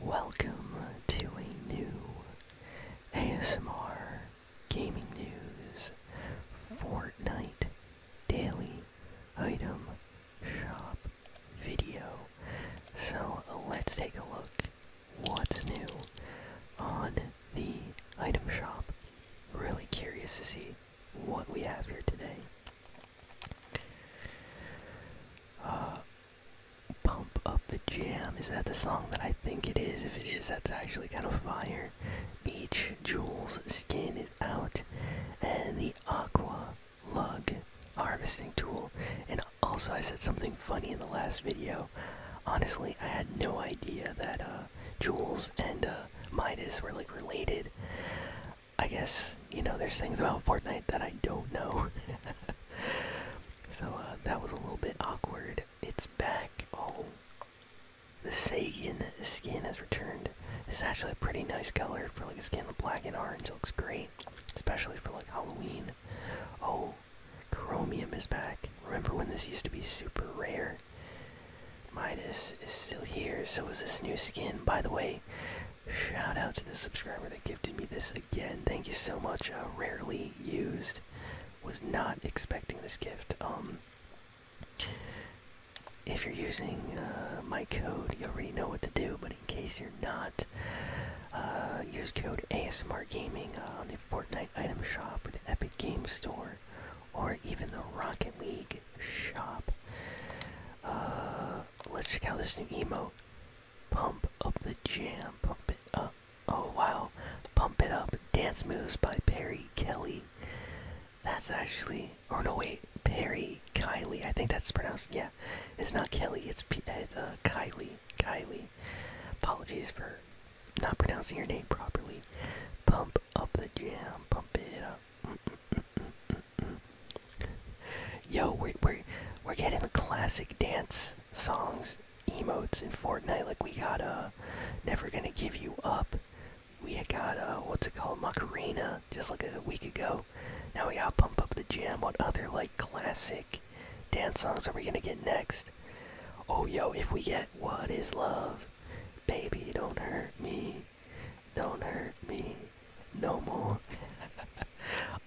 Welcome to a new ASMR Gaming News Fortnite Daily Item Shop video. So let's take a look what's new on the item shop. Really curious to see what we have here today. Uh, Pump up the jam. Is that the song that I think it is? If it is, that's actually kind of fire. Beach Jules skin is out, and the Aqua Lug harvesting tool. And also, I said something funny in the last video. Honestly, I had no idea that uh, Jules and uh, Midas were like related. I guess you know there's things about Fortnite that I don't know. so uh, that was a little bit awkward. It's back. Oh, the Sagan skin has returned. It's actually a pretty nice color for like a skin of black and orange. looks great, especially for like Halloween. Oh, Chromium is back. Remember when this used to be super rare? Midas is still here. So is this new skin. By the way, Shout out to the subscriber that gifted me this again. Thank you so much. Uh, rarely used. Was not expecting this gift. Um, if you're using uh, my code, you already know what to do. But in case you're not, uh, use code ASMR Gaming uh, on the Fortnite item shop or the Epic Games Store, or even the Rocket League shop let's check out this new emote. Pump up the jam, pump it up. Oh wow, pump it up. Dance moves by Perry Kelly. That's actually, or no wait, Perry Kylie. I think that's pronounced. Yeah, it's not Kelly. It's P it's Kylie. Uh, Kylie. Apologies for not pronouncing your name properly. Pump up the jam, pump it up. Mm, mm, mm, Yo, we're we're we're getting the classic dance songs, emotes in Fortnite. Like we got a uh, never gonna give you up. We got a uh, what's it called, Macarena, just like a week ago. Now we got pump up the jam. What other like classic dance songs are we gonna get next? Oh, yo, if we get what is love, baby, don't hurt me. Don't hurt me no more.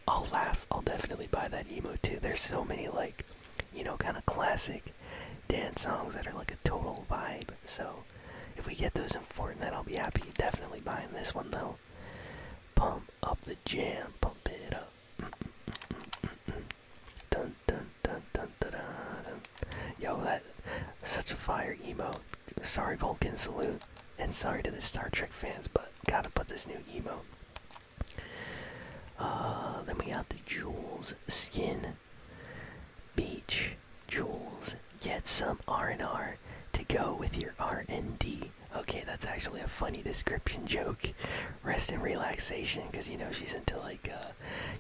I'll laugh. I'll definitely buy that emo too. There's so many like, you know, kind of classic dance songs that are like a total vibe. So if we get those in Fortnite, I'll be happy. Definitely buying this one though. Pump up the jam. Pump it up. Dun dun dun dun dun dun. Yo, that such a fire emo sorry Vulcan salute, and sorry to the Star Trek fans, but gotta put this new emo. Uh, then we have the Jules skin. Beach Jules, get some R and R to go with your R and D. Okay, that's actually a funny description joke. Rest and relaxation, because you know she's into like, uh,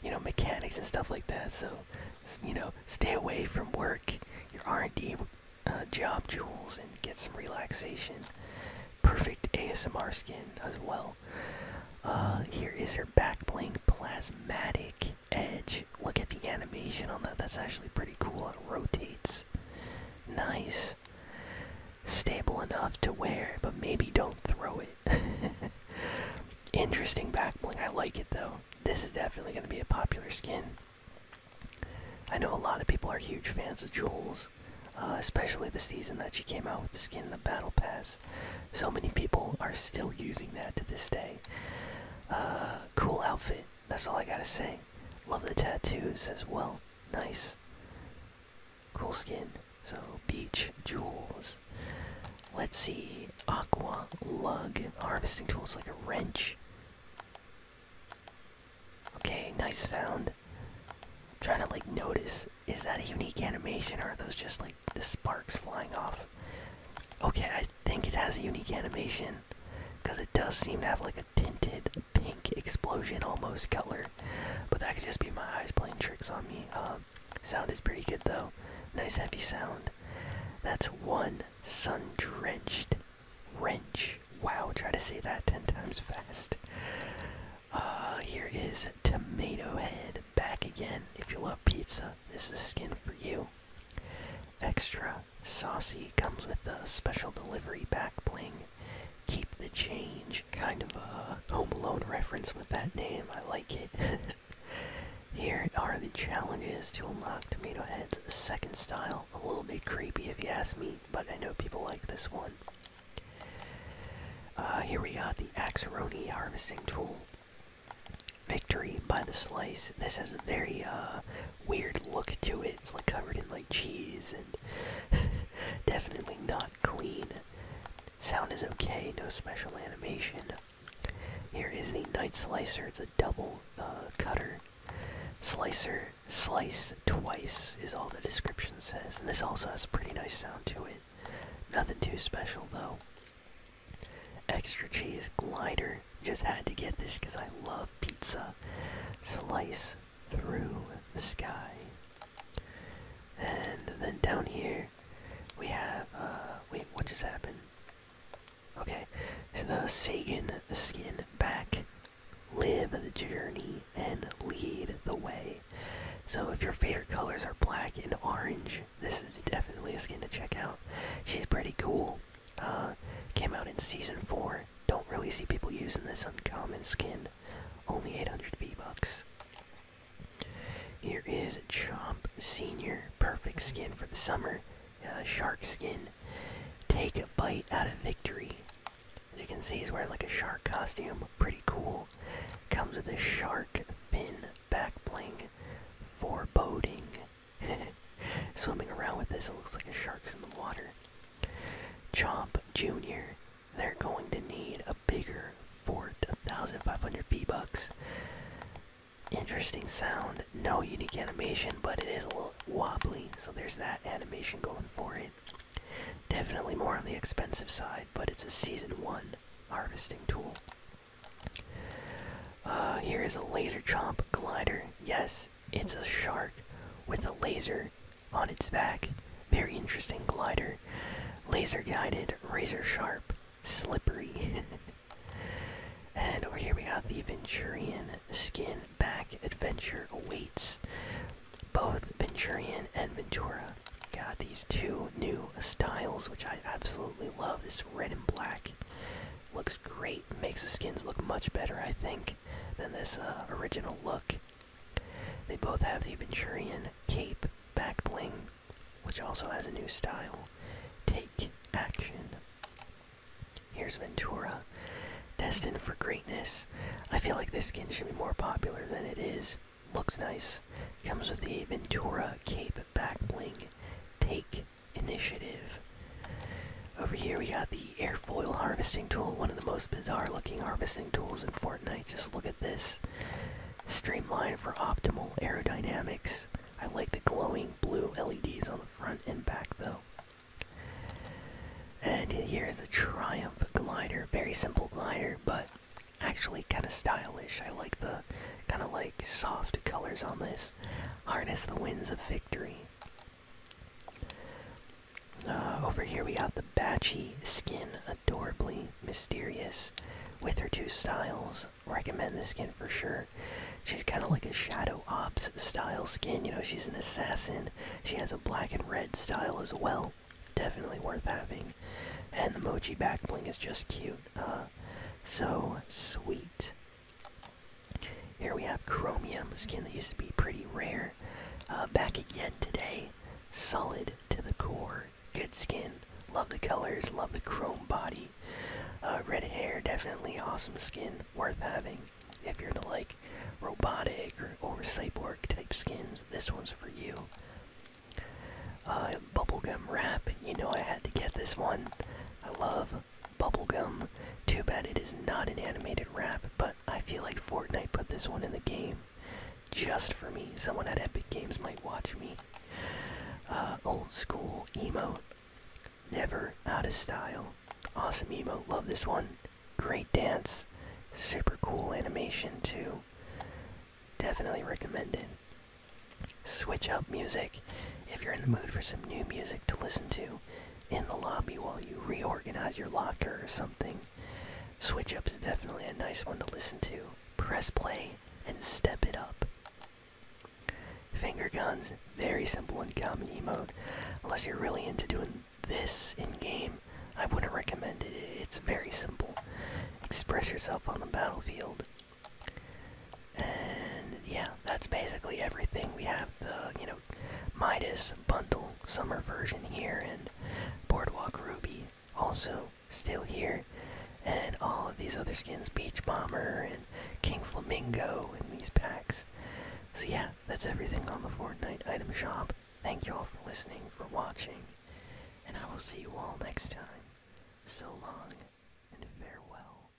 you know, mechanics and stuff like that. So you know, stay away from work, your R&D uh, job jewels, and get some relaxation. Perfect ASMR skin as well. Uh, here is her back bling plasmatic edge. Look at the animation on that. That's actually pretty cool. It rotates. Nice. Stable enough to wear, but maybe don't throw it. Interesting back bling. I like it though. This is definitely going to be a popular skin. I know a lot of people are huge fans of Jules, uh, especially the season that she came out with the skin in the Battle Pass. So many people are still using that to this day. Uh, cool outfit. That's all I gotta say. Love the tattoos as well. Nice. Cool skin. So, Beach Jewels. Let's see. Aqua lug harvesting tools like a wrench. Okay, nice sound. trying to like notice is that a unique animation or are those just like the sparks flying off? Okay, I think it has a unique animation because it does seem to have like a tinted pink explosion almost color, but that could just be my eyes playing tricks on me. Um, Sound is pretty good though. Nice heavy sound. That's one sun drenched wrench. Wow, try to say that 10 times fast. Uh, here is Tomato Head back again. If you love pizza, this is a skin for you. Extra saucy comes with a special delivery back bling. Keep the change. Kind of a Home Alone reference with that name. I like it. Here are the challenges to unlock Tomato Head's second style. A little bit creepy if you ask me, but I know people like this one. Uh, here we got the Axeroni harvesting tool. Victory by the slice. This has a very uh, weird look to it. It's like covered in like cheese and definitely not clean. Sound is okay, no special animation. Here is the Night Slicer. It's a double uh, cutter. Slicer, slice twice is all the description says. And this also has a pretty nice sound to it. Nothing too special though. Extra cheese glider. Just had to get this because I love pizza. Slice through the sky. And then down here we have, uh, wait, what just happened? Okay, so the Sagan skin back. Live the journey and lead the way. So if your favorite colors are black and orange, this is definitely a skin to check out. She's pretty cool. Uh, came out in season four. Don't really see people using this uncommon skin. Only 800 V bucks. Here is Chomp Senior, perfect skin for the summer. Uh, shark skin. Take a bite out of victory. As you can see, he's wearing like a shark costume. Pretty cool. Comes with a shark fin back bling. Foreboding. Swimming around with this, it looks like a shark's in the water. Chomp Junior, they're going to need a bigger fort, 1,500 V-Bucks. Interesting sound, no unique animation, but it is a little wobbly, so there's that animation going for it. Definitely more on the expensive side, but it's a season 1 harvesting tool. Uh, here is a laser chomp glider. Yes, it's a shark with a laser on its back. Very interesting glider. Laser guided, razor sharp, slippery. and over here we got the Venturian skin back adventure awaits. Both Venturian and Ventura got these two new styles, which I absolutely love. This red and black looks great, makes the skins look much better, I think, than this uh, original look. They both have the Ventura Cape back bling, which also has a new style. Take action. Here's Ventura, destined for greatness. I feel like this skin should be more popular than it is. Looks nice. Comes with the Ventura Cape back bling. Take initiative. Over here we got the Air foil harvesting tool, one of the most bizarre looking harvesting tools in Fortnite. Just look at this. Streamline for optimal aerodynamics. I like the glowing blue LEDs on the front and back though. And here is a Triumph glider. Very simple glider, but actually kind of stylish. I like the kind of like soft colors on this. Harness the winds of victory. Uh, over here we got the Batchy skin, adorably mysterious with her two styles. Recommend this skin for sure. She's kind of like a Shadow Ops style skin. You know, she's an assassin. She has a black and red style as well. Definitely worth having. And the Mochi back bling is just cute. Uh, so sweet. Here we have Chromium, skin that used to be pretty rare. Uh, back again today. Solid to the core. Good skin. Love the colors. Love the chrome body. Uh, red hair. Definitely awesome skin. Worth having if you're into like robotic or, cyborg type skins. This one's for you. Uh, bubblegum wrap. You know I had to get this one. I love bubblegum. Too bad it is not an animated wrap, but I feel like Fortnite put this one in the game just for me. Someone at Epic Games might watch me. Uh, old school emo, never out of style. Awesome emo, love this one. Great dance, super cool animation too. Definitely recommend it. Switch up music if you're in the mood for some new music to listen to in the lobby while you reorganize your locker or something. Switch Up is definitely a nice one to listen to. Press play and step it up. Finger guns, very simple and common emote. Unless you're really into doing this in game, I wouldn't recommend it. It's very simple. Express yourself on the battlefield. And yeah, that's basically everything. We have the, you know, Midas bundle summer version here and Boardwalk Ruby also still here. And all of these other skins, Beach Bomber and King Flamingo in these packs. So yeah, that's everything on the Fortnite item shop. Thank you all for listening, for watching, and I will see you all next time. So long and farewell.